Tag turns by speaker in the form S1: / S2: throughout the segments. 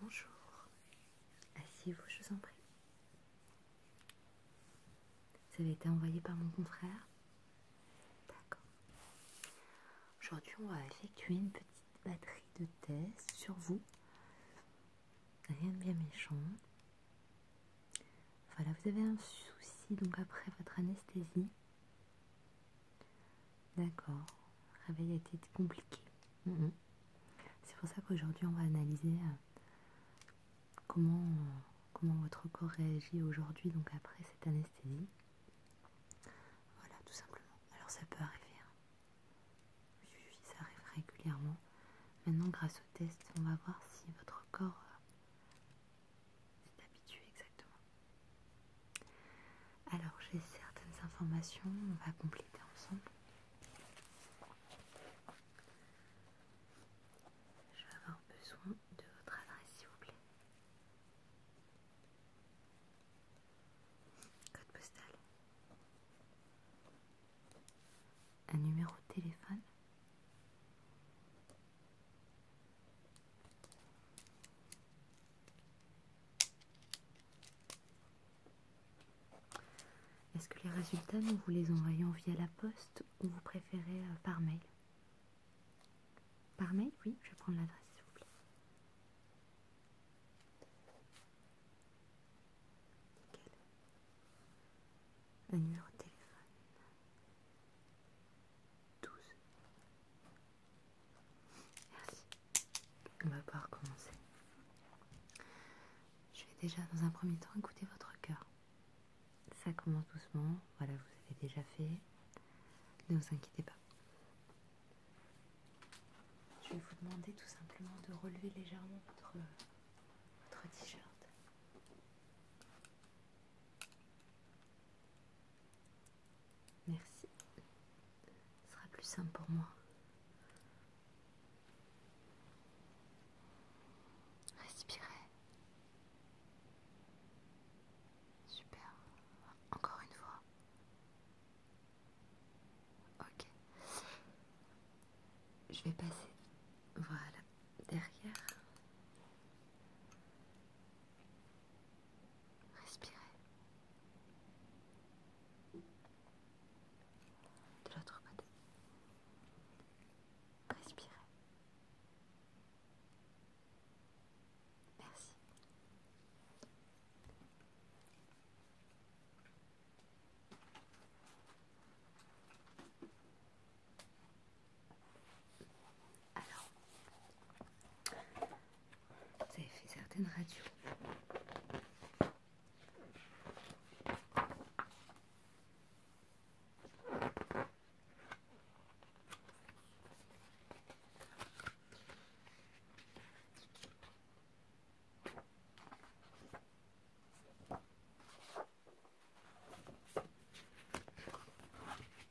S1: Bonjour, asseyez-vous, je vous en prie. Ça avez été envoyé par mon confrère D'accord. Aujourd'hui, on va effectuer une petite batterie de tests sur vous. Rien de bien méchant. Voilà, vous avez un souci donc après votre anesthésie. D'accord, réveil a été compliqué. Mm-hmm. C'est pour ça qu'aujourd'hui on va analyser euh, comment, comment votre corps réagit aujourd'hui, donc après cette anesthésie. Voilà, tout simplement. Alors ça peut arriver. Hein. ça arrive régulièrement. Maintenant, grâce au test, on va voir si votre corps s'est euh, habitué exactement. Alors j'ai certaines informations, on va compléter ensemble. Je vais avoir besoin de votre adresse s'il vous plaît. Code postal. Un numéro de téléphone. Est-ce que les résultats, nous vous les envoyons via la poste ou vous préférez euh, par mail Par mail, oui, je vais prendre l'adresse, s'il vous plaît. Nickel. numéro de téléphone. 12 Merci. On va pouvoir commencer. Je vais déjà dans un premier temps écouter votre cœur. Ça commence doucement, voilà, vous avez déjà fait. Ne vous inquiétez pas. Je vais vous demander tout simplement de relever légèrement votre, votre t-shirt. Merci. Ce sera plus simple pour moi. Respirez. Super. Encore une fois. Ok. Je vais passer. Voilà. Derrière. Respirez. De l'autre côté. Respirez. Merci. Alors, vous fait certaines radios.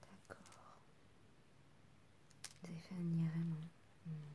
S1: D'accord. Vous avez fait un IRM. vraiment. Hmm.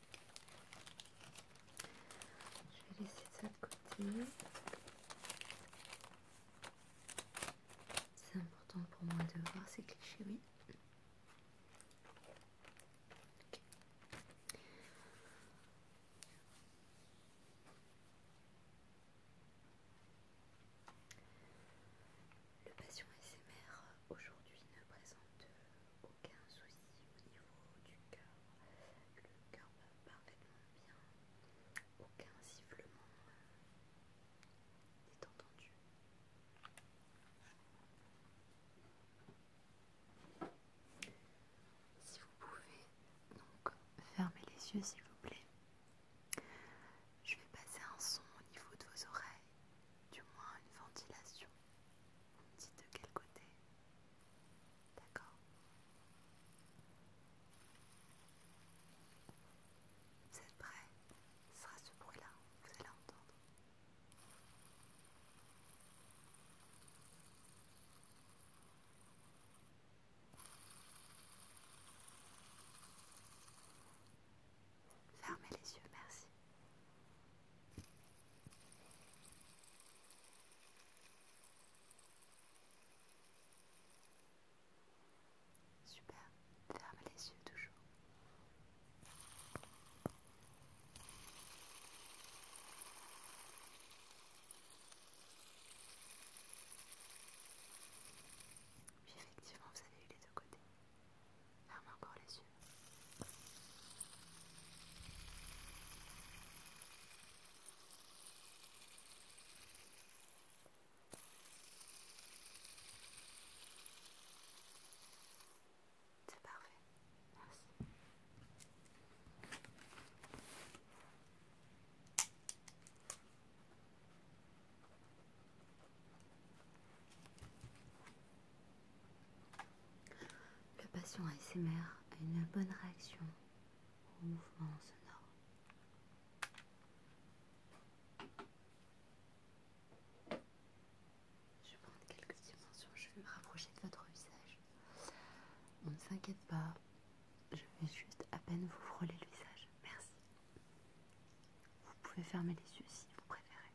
S1: Je vais laisser ça de côté. C'est important pour moi de voir ces clichés, oui. Le patient SMR aujourd'hui ne présente aucun souci au niveau du cœur. Le cœur va parfaitement bien. Aucun sifflement euh, n'est entendu. Si vous pouvez donc fermer les yeux s'il vous plaît. Je vais passer un son au niveau de vos oreilles, du moins une ventilation. Dites de quel côté D'accord. Vous êtes prêts Ce sera ce bruit-là, vous allez l'entendre. Fermez les yeux, merci. Super, ferme les yeux toujours. Oui, effectivement, vous avez eu les deux côtés. Ferme encore les yeux. C'est parfait, merci. Le patient ASMR a une bonne réaction au mouvement sonore. Je vais prendre quelques dimensions, je vais me rapprocher de votre visage. On ne s'inquiète pas, je vais juste à peine vous frôler le visage. Merci. Vous pouvez fermer les yeux si vous préférez.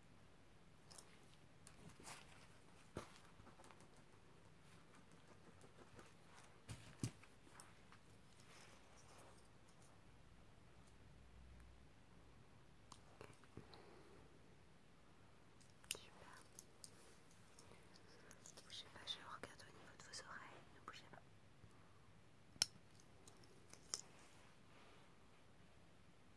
S1: Je Ne pas, je regarde au niveau de vos oreilles, ne bougez pas.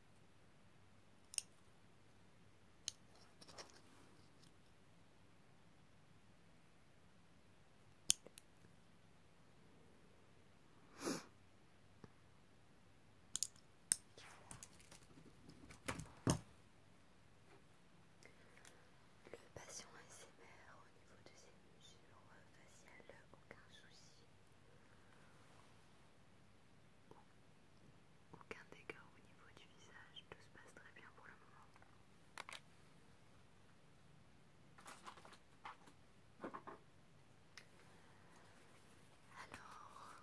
S1: Le patient ASMR au niveau de ses mesures faciales, aucun souci. Aucun dégât au niveau du visage, tout se passe très bien pour le moment. Alors,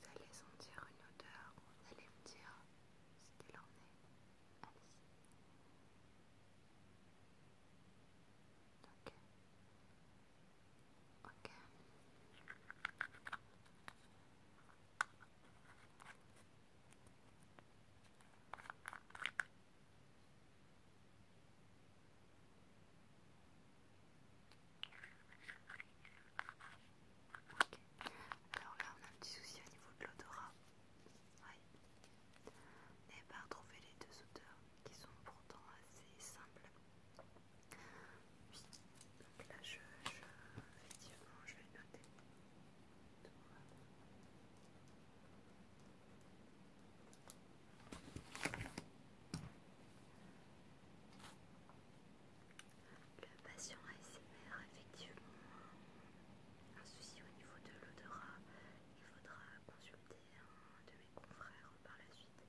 S1: vous allez sentir une odeur, vous allez me dire ce qu'il en est. Alors là, on a un petit souci au niveau de l'odorat. Oui. Eh N'ayez ben, pas retrouvé les deux odeurs qui sont pourtant assez simples. Oui. Donc là, je, je effectivement, je vais noter. Le patient ASMR a effectivement un, un souci au niveau de l'odorat. Il faudra consulter un de mes confrères par la suite.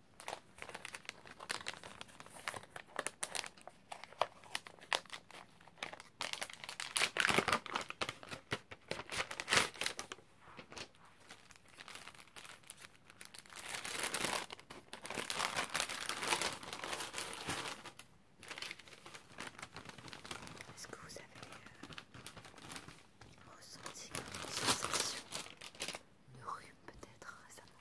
S1: Est-ce que vous avez euh, ressenti une sensation de rhume peut-être récemment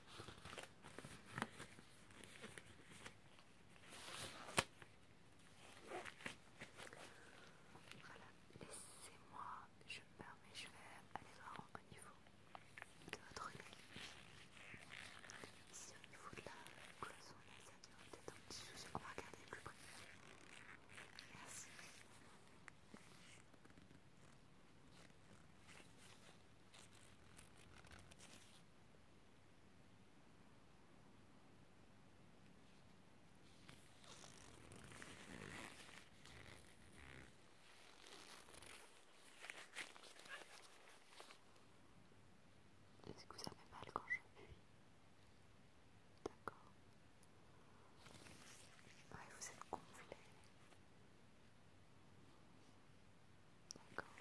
S1: Voilà, laissez-moi, je me permets, je vais aller voir au niveau de votre nez. Ici au niveau de la cloison peut-être un petit souci, on va regarder plus près. Merci. Est-ce que vous fait mal quand je fuis D'accord vous êtes gonflé. D'accord.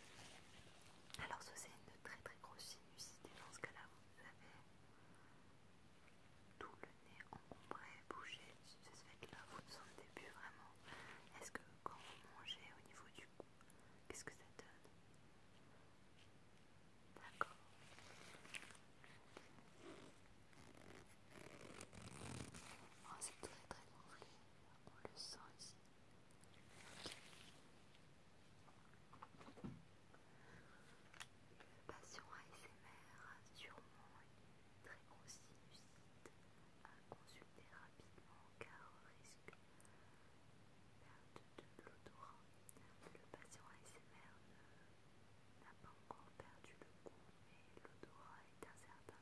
S1: Alors, ça c'est une très très grosse sinusité. Dans ce cas-là, vous avez tout le nez encombré, bougé. ça ce fait-là, vous ne sentez plus vraiment. Est-ce que quand vous mangez au niveau du cou, qu'est-ce que ça donne D'accord. Oh, c'est très très gonflé, on le sent ici. Une patient ASMR sûrement une très grosse sinusite à consulter rapidement car risque perte de l'odorat. Le patient ASMR n'a pas encore perdu le goût L'odorat est incertain.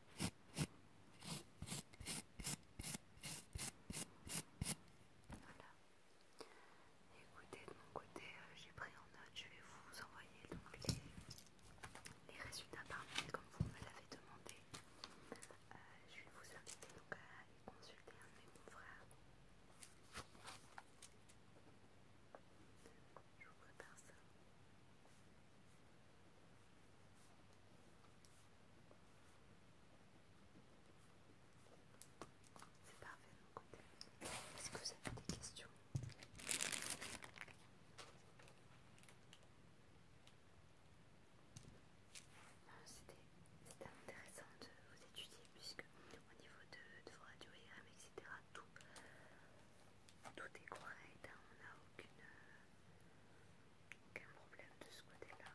S1: Voilà. Écoutez, de mon côté, euh, j'ai pris en note, je vais vous envoyer les, résultats par mail comme vous me l'avez demandé. Euh, je vais vous inviter donc à aller consulter un de mes confrères. Je vous prépare ça. C'est parfait de mon côté. Est-ce que vous avez des questions C'était intéressant de vous étudier puisque au niveau de, de vos etc., tout, tout est correct. Hein, on n'a aucune aucun problème de ce côté-là.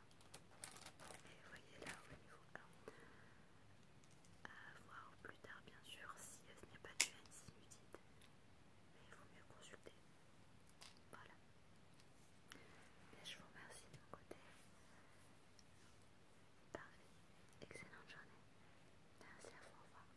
S1: Et voyez là au niveau 1, à voir plus tard bien sûr si n'y n'est pas de haine sinusite, mais il vaut mieux consulter. Voilà. et je vous remercie de mon côté. Parfait. Excellente journée. Merci à vous. Au revoir.